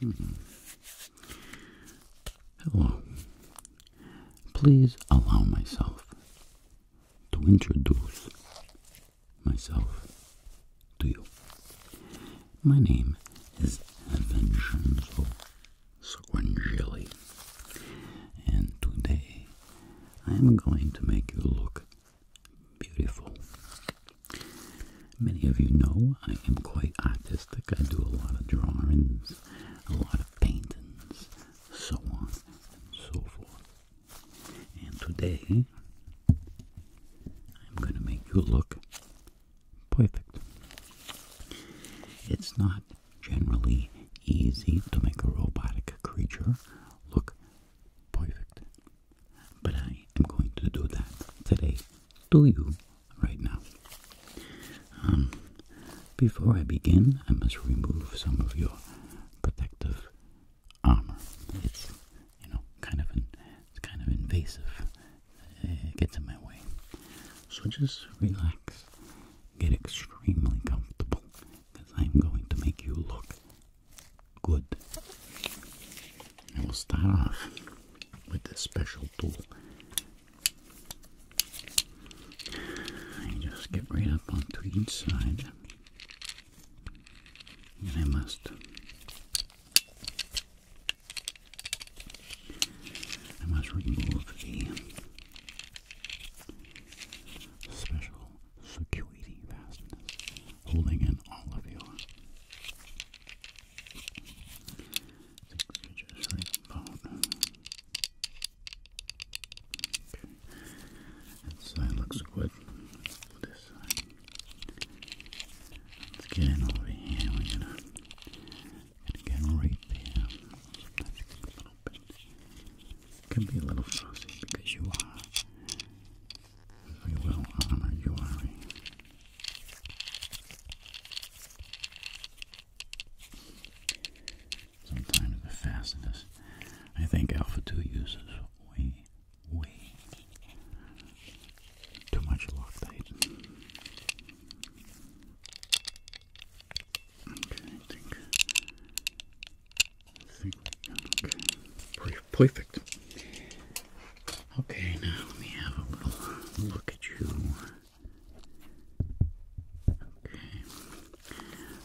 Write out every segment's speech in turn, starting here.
Hmm. Hello. Please allow myself to introduce myself to you. My name is Vincenzo Squangeli, and today I am going to make you look beautiful. Many of you know I am quite artistic. I do a lot of drawings, a lot of paintings, so on and so forth. And today, I'm going to make you look perfect. It's not generally easy to make a robotic creature look perfect. But I am going to do that today to you right now. Um, before I begin, I must remove some of your protective armor. It's you know kind of an, kind of invasive. It gets in my way. So just relax, get extremely comfortable, because I'm going to make you look Good. we'll start off with this special tool. And just get right up onto each side. And I must I must remove the special security fasteners holding in all of your just leave side looks good. this side. Let's get in over here. We're gonna, gonna right there. a little bit. can be a little fussy because you are we will honor you, Sometimes the fastness I think Alpha 2 uses way, way too much Loctite. Okay, okay, perfect. Okay, now let me have a little look at you. Okay.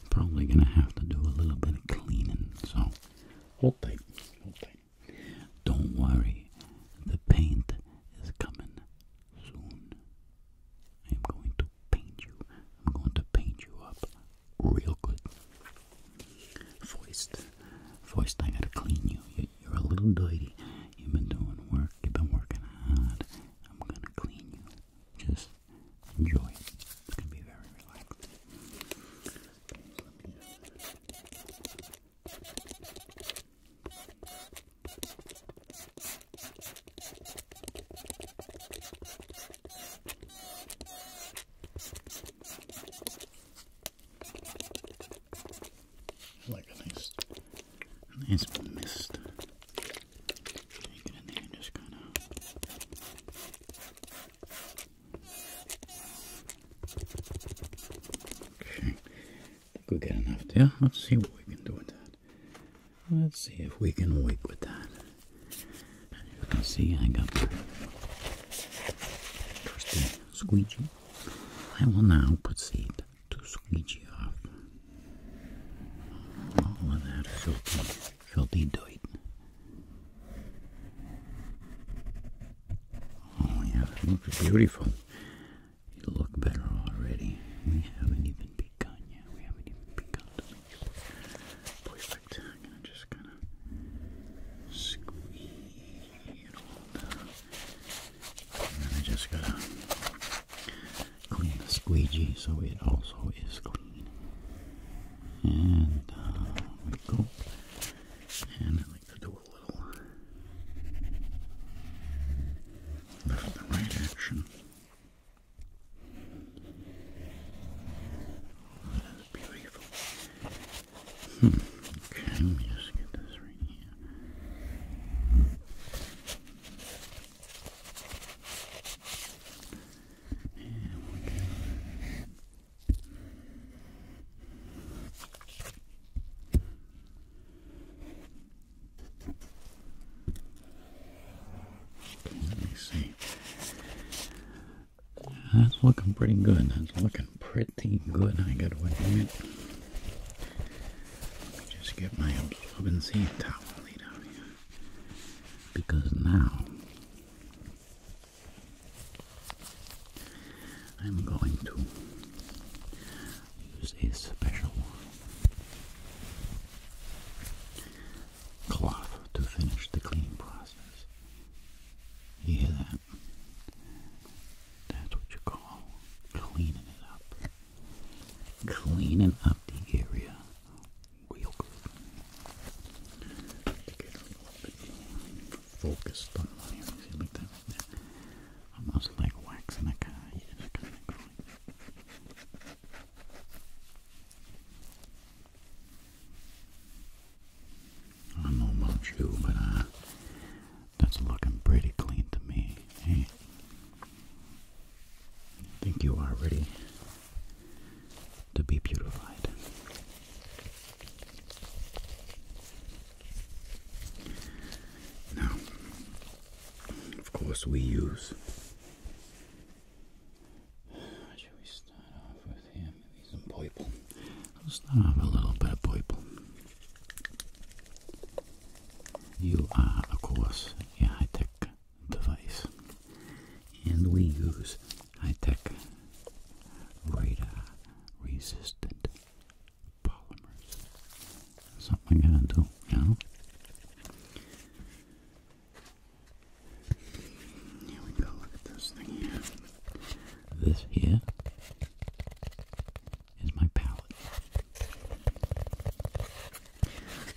Probably gonna have to do a little bit of cleaning, so hold tight, hold tight. Don't worry, the paint is coming soon. I am going to paint you. I'm going to paint you up real good. First, first I gotta clean you. You're a little dirty. You've been doing work. You've been working hard. I'm going to clean you. Just enjoy it. It's going to be very relaxing. Like a nice, nice mist. You get Okay, think we got enough there. Let's see what we can do with that. Let's see if we can work with that. As you see, I got my squeegee. I will now proceed to squeegee off all of that filthy, filthy dirt. Oh yeah, it beautiful. You look better already. We haven't even begun yet. We haven't even begun perfect. just kind of squeeze and then I just gotta clean the squeegee so it also is clean. And uh, we go. And I like to do a little left and right action. beautiful. Hmm. let me see. That's looking pretty good. That's looking pretty good, I gotta admit. Let me just get my absorbency towel laid out here. Because now I'm going to use a special cloth to finish the cleaning process. You hear that? That's what you call cleaning it up. Cleaning up the area real good. Get a little bit focused on my area. See, like that, like that. Almost like waxing a car. I don't know about you, but that's looking pretty clean to me. Eh? I think you are ready to be beautified. Now, of course, we use. Should we start off with here? Maybe some purple. Let's have a little bit of people. You are, of course, a high-tech device, and we use high-tech radar resistant polymers. Something I gotta do, you know? Here we go, look this thing here. This here is my palette.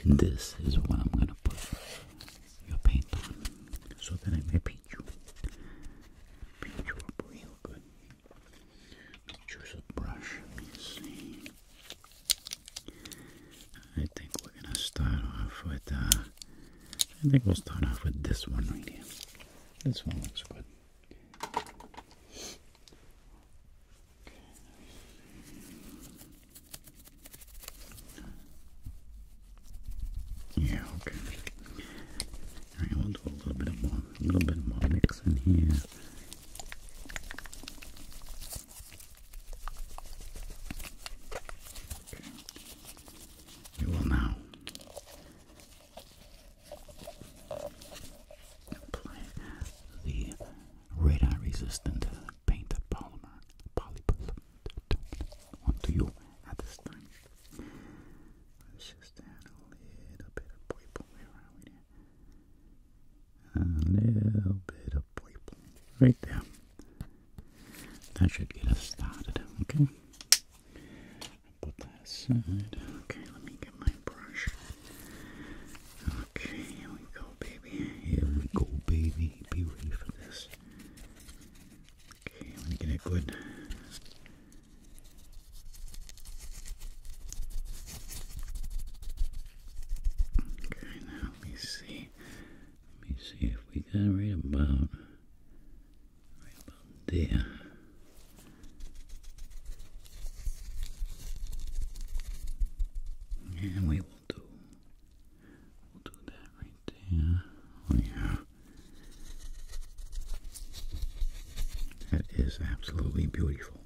This is what I'm going to put your paint on so that I may paint you. Paint you real good. Choose a brush. Let me see. I think we're going to start off with, uh, I think we'll start off with this one right here. This one looks good. Yeah, okay. Alright, we'll do a little bit more a little bit more mixing here. Okay. will now Apply the radar resistant paint polymer polypolymid onto you at this time. Let's just add a little bit of purple around here. A little bit of purple right there. That should get us started, okay? Put that aside. Okay, let me get my brush. Okay, here we go, baby. Here we go, baby. Be ready for this. Okay, let me get it good. Okay, now let me see. Let me see if we got right about right about there. And we will do we'll do that right there. Oh yeah. That is absolutely beautiful.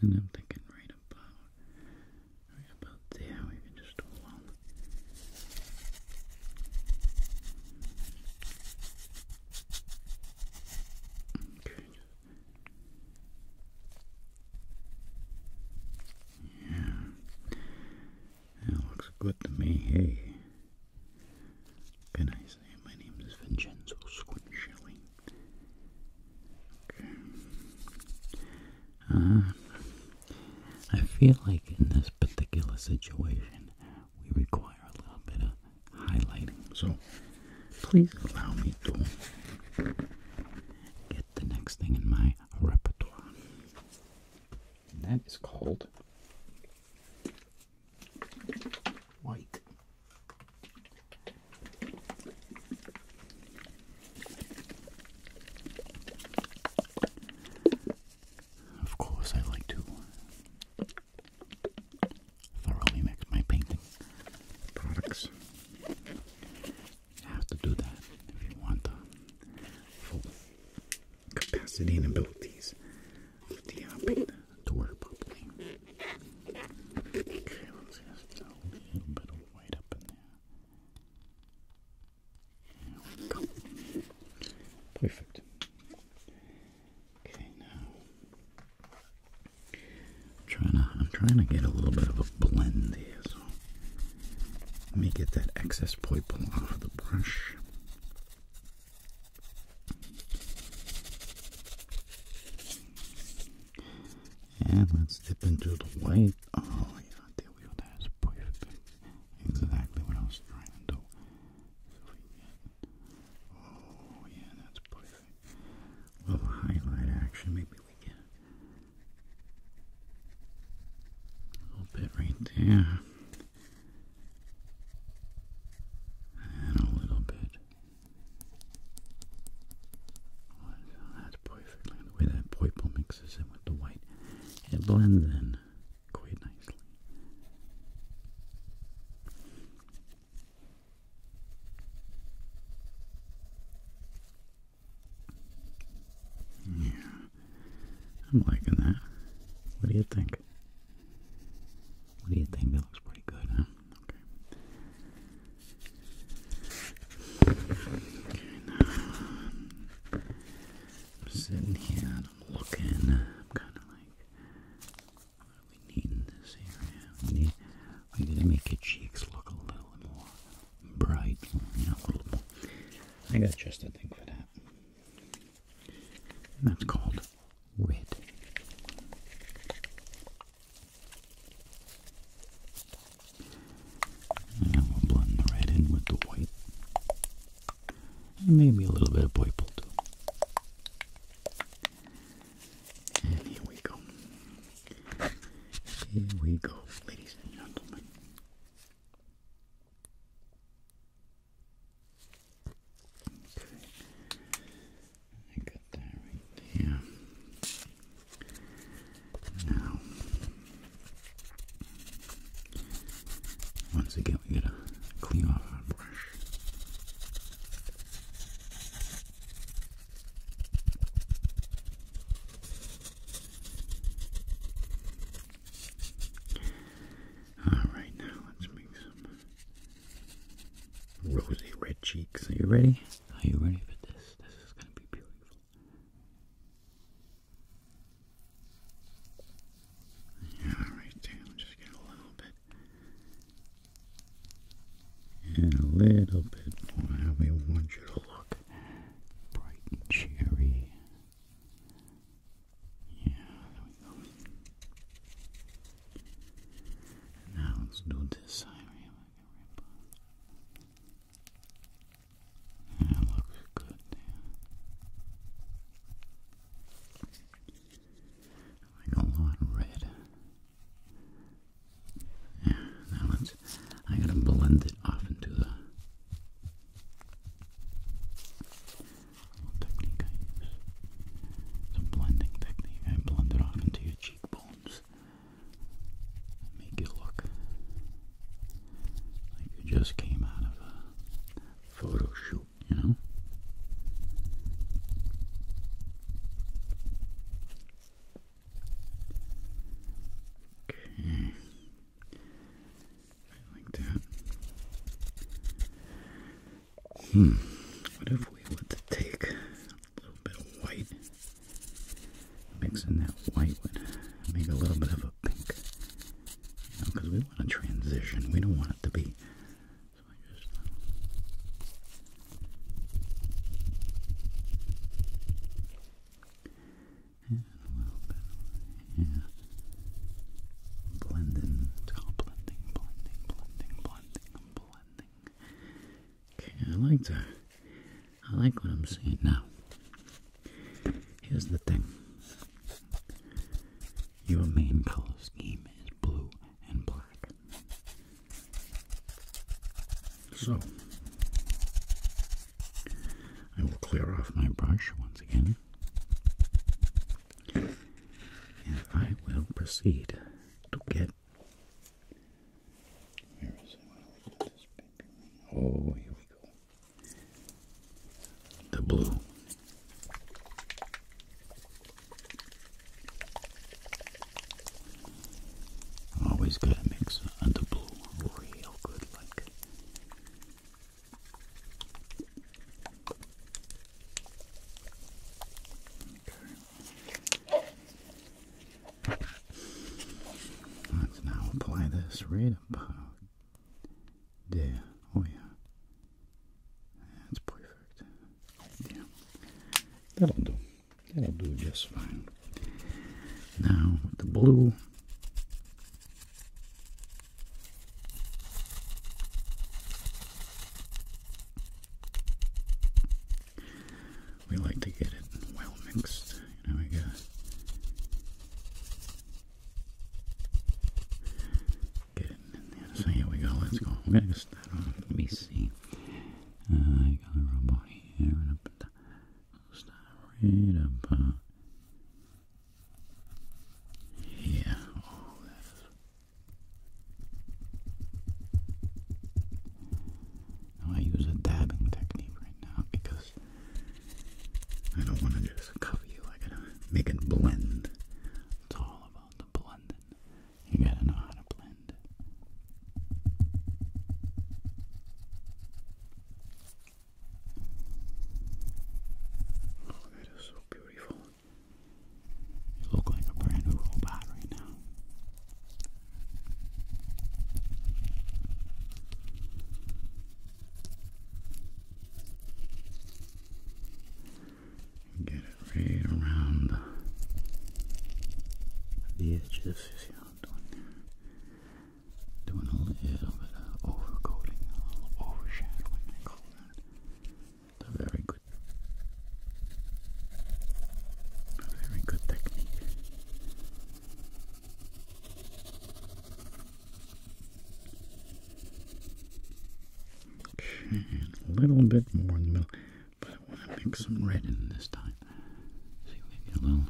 And I'm thinking right about right about there we can just do a yeah. That looks good to me. Hey. Can I say my name is Vincenzo Squinchelli? Okay. Uh, I feel like in this particular situation, we require a little bit of highlighting. So please allow me to get the next thing in my repertoire. And that is called white. Of course, I like to thoroughly mix my painting products. You have to do that if you want the full capacity and abilities of the uh, paint to work properly. Okay, let's just a little bit of white up in there. There we go. Perfect. Okay, now trying to I'm trying to get a little bit of a blend here, let me get that excess purple off of the brush. And let's dip into the white. Oh yeah, there we go. That's perfect. Exactly what I was trying to Oh, yeah, that's perfect. A little highlight action, maybe we can. A little bit right there. And a little bit. Oh, that's perfect. the way that purple mixes in with the white. It blends in quite nicely. Yeah, I'm liking that. What do you think? What do you think? That looks pretty good, huh? Okay. sitting here I'm looking. I'm kind of like we need in this area. We need, we need to make your cheeks look a little more bright, a little more. I got just a thing for that. that's called red. And we'll blend the red in with the white. maybe a little bit of purple too. And here we go. Here we go, ladies and gentlemen. Okay. I got that right there. Now, once again, we gotta clean off our brush. Alright, now let's make some rosy red cheeks. Are you ready? Are you ready for this? This is going to be beautiful. Yeah, just get a little bit. And a little bit more we want you to look. Bright and cheery. Yeah, there we go. now let's do this side like a ribbon. That looks good like a lot of red. Yeah, now let's, I gotta blend it off into the technique I blending technique. blend it off into your cheekbones. Make it look like you just came out of a photo shoot you know? Okay. Like that. Hmm. What if we want to take a little bit of white? Mix in that white would make a little bit of a pink. You know, because we want a transition. We don't want it to be yeah. Blending. It's called blending, blending, blending, blending, blending. Okay, I like that. I like what I'm seeing now. Here's the thing. Your main color scheme is blue and black. So, I will clear off my brush once again, and I will proceed to get. Oh, here we go. The blue always gotta mix a double real good like Let's now apply this right up there. Oh yeah. That's perfect. Yeah, that'll do. That'll do just fine. Now the blue. We like to get it well mixed. You know, we gotta and then, so here we go, let's go. We're start off, let me see. Uh, I got a robot here, and right up uh, Now oh, I use a dabbing technique right now because I don't want to just cover you. I gotta make it blend. It's all about the blending. You gotta know how to blend. Oh, that is so beautiful. You look like a brand new robot right now. Get it right around the edges. You see how I'm doing there? Doing a little bit of overcoating, a little overshadowing, I call that. It's a very good, a very good technique. Okay, a little bit more in the middle, but I want to mix some red in this time. So maybe a little,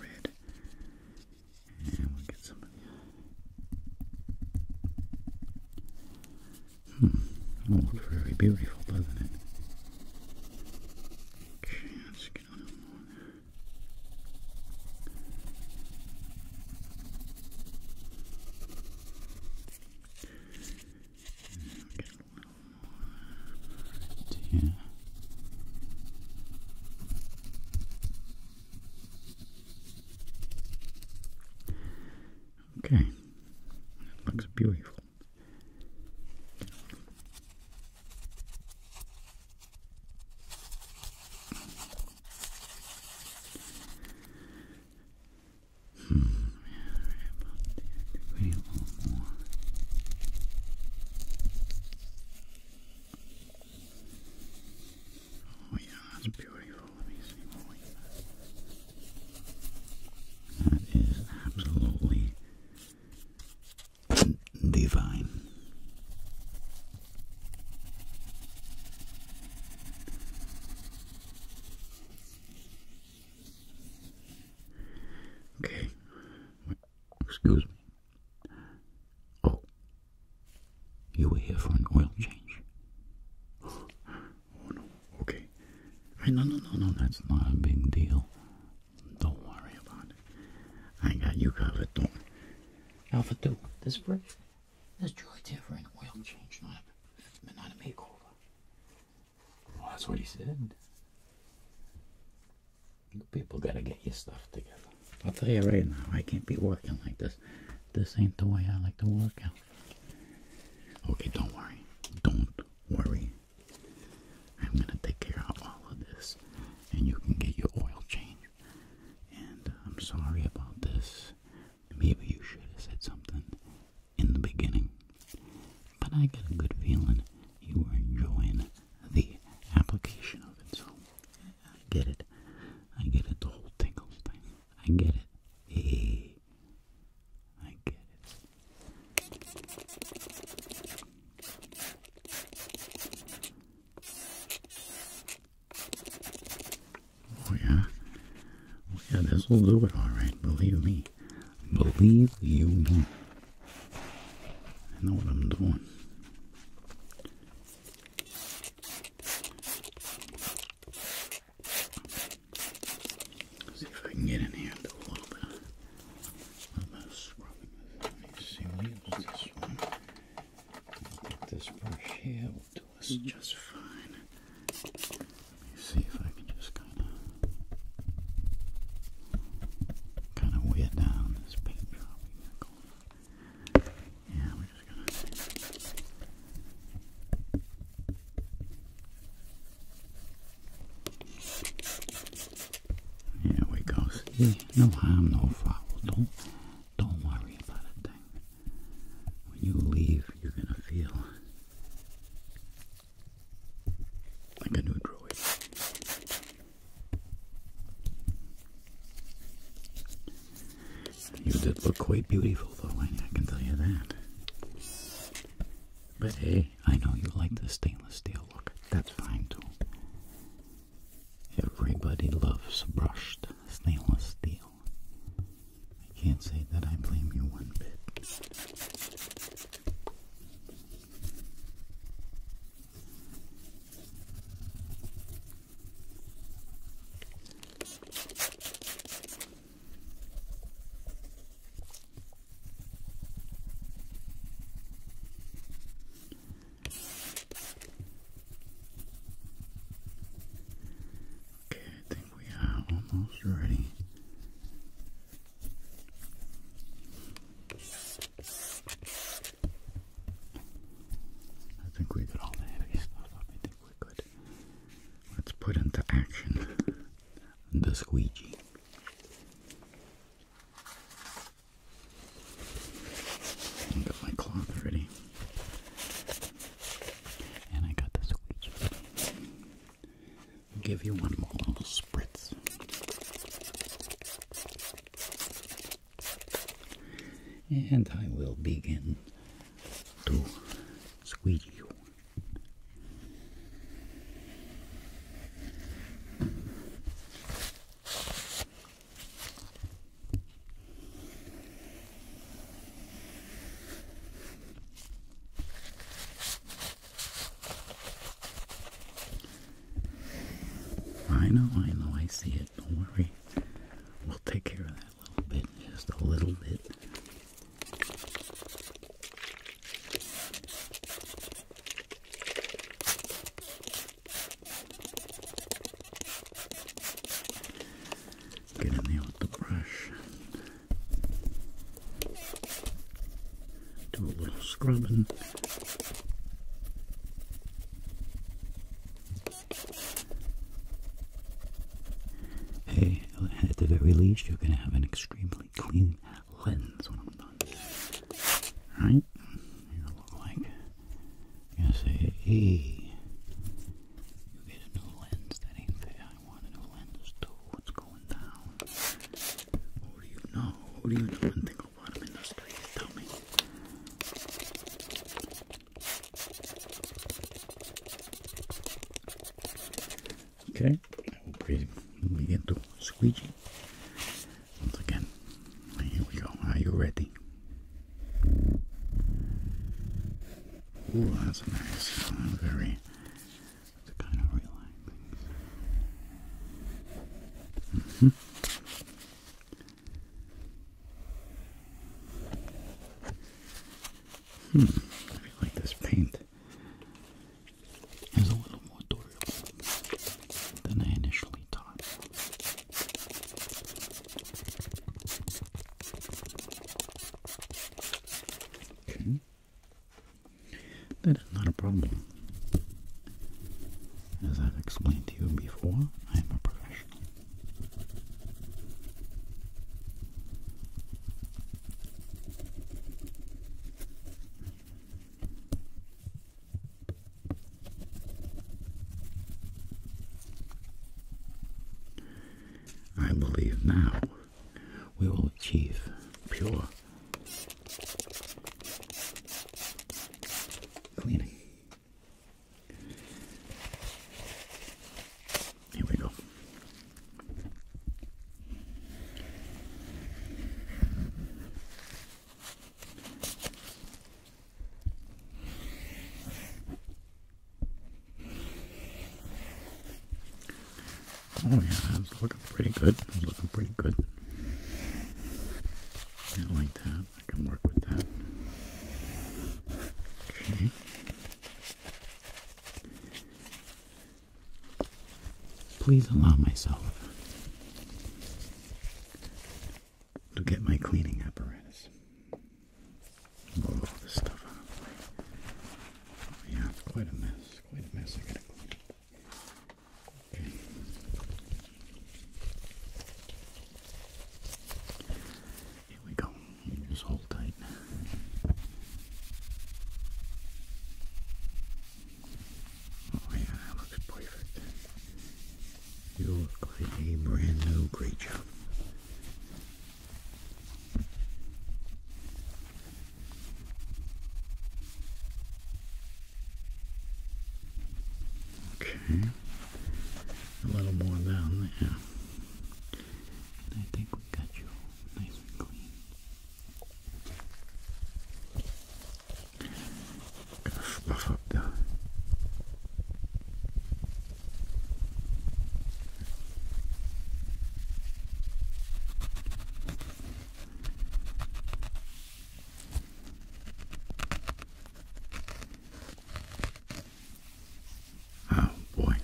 red, and we get some. Hmm, that looks very beautiful, doesn't it? Okay, let's get a little more. Okay, that looks beautiful. Oh yeah, that's beautiful. Let me see more That is absolutely divine. Okay. Excuse me. Oh. You were here for an oil change. Oh no. Okay. No, no, no, no. That's not a big deal. Don't worry about it. I got you covered, don't. Alpha 2, this break there's dry tear for oil change, not a, not a makeover. Well, that's what he said. You people gotta get your stuff together. I'll tell you right now, I can't be working like this. This ain't the way I like to work out. Okay, don't worry. Don't worry. I'm gonna take care of all of this, and you can get your oil change. And I'm sorry about this. Maybe you should have said something in the beginning. But I get a good feeling you were enjoying the application of it, so I get it. I get it, the whole tingles thing. I get it. Hey, I get it. Oh yeah, oh yeah, this will do it all right. Believe me, believe you I know what I'm doing. see if I can get in here and do a little bit, a little bit of scrubbing. Let me see, we this one. get this brush here was just fine. see if I can just kind of, kind of wear down this paint job Yeah, we're just gonna. Here we go. See, no harm, no foul. Don't, don't worry about a thing. When you leave, you're gonna feel like a new droid. You did look quite beautiful, though, I can tell you that. But hey, I know you like the stainless steel look. That's fine, too. Everybody loves brushed stainless steel. I can't say that I blame you one bit. Okay, I think we are almost ready. I think we did all the heavy stuff up. I think we could. Let's put into action the squeegee. I got my cloth ready. And I got the squeegee. will give you one more little spritz. And I will begin to squeegee you. I know, I know, I see it. Don't worry. We'll take care of that little bit, just a little bit. Get in there with the brush. Do a little scrubbing. Hey, at the very least, you're going to have an extremely clean lens when I'm done. Right? It'll look like gonna say, hey, you get a new lens, that ain't fair, I want a new lens too, what's going down? What do you know? What do you know and think about them in the street? Tell me. Okay, I will breathe. We get to squeegee. Once again, here we go. Are you ready? Ooh, that's nice. i very kind of realign -hmm. Hmm, I feel like this paint is a little more durable than I initially thought. That is not a problem. As I've explained to you before, I am a professional. I believe now we will achieve pure cleaning. Here we go. Oh yeah, it's looking pretty good. It's looking pretty good. I like that. I can work with that. Okay. Please allow myself to get my cleaning apparatus yeah, it's quite a mess. Quite a mess. I gotta clean Okay. Here we go. just hold tight. Oh yeah, that looks perfect. You look like a brand new great job. Okay, a little more down there. I think we got you nice and clean. Gonna fluff up the Oh boy,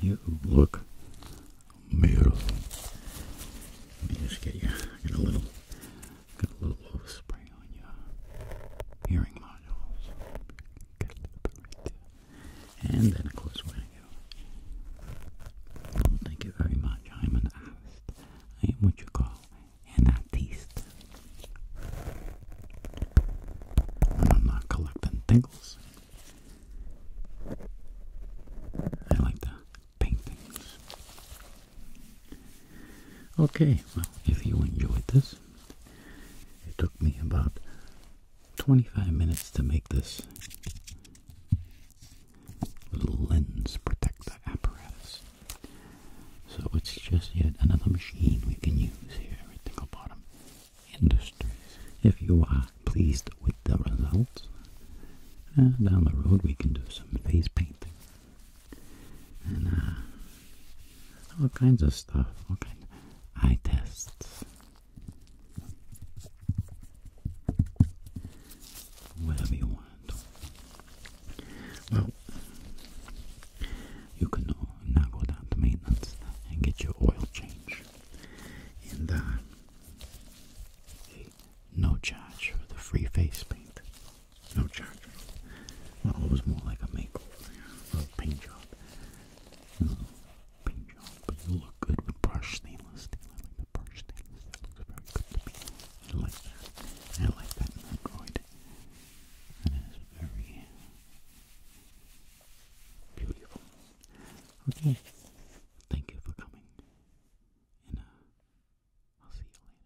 you look beautiful. Let me just get you. Get a little, get a little overspray on your hearing modules. And then, of course, we're going to go. Oh, thank you very much. I'm an artist. I am what you call an artiste. When I'm not collecting thingles, I like to paint things. Okay, well, if you enjoyed this, it took me about 25 minutes to make this little lens protector apparatus. So it's just yet another machine we can use here at Tinkle Bottom Industries. If you are pleased with the results, uh, down the road we can do some face painting. Uh, all kinds of stuff, all kinds of eye tests. Whatever you want. Well, you can now go down to maintenance and get your oil change. And uh, no charge for the free face paint. No charge. Well, it was more like a makeover, a paint job paint job. you look good with brushed stainless I like the brushed stainless steel. looks very good to me. I like that. I like that in That is very beautiful. Okay. Thank you for coming. And uh, I'll see you later.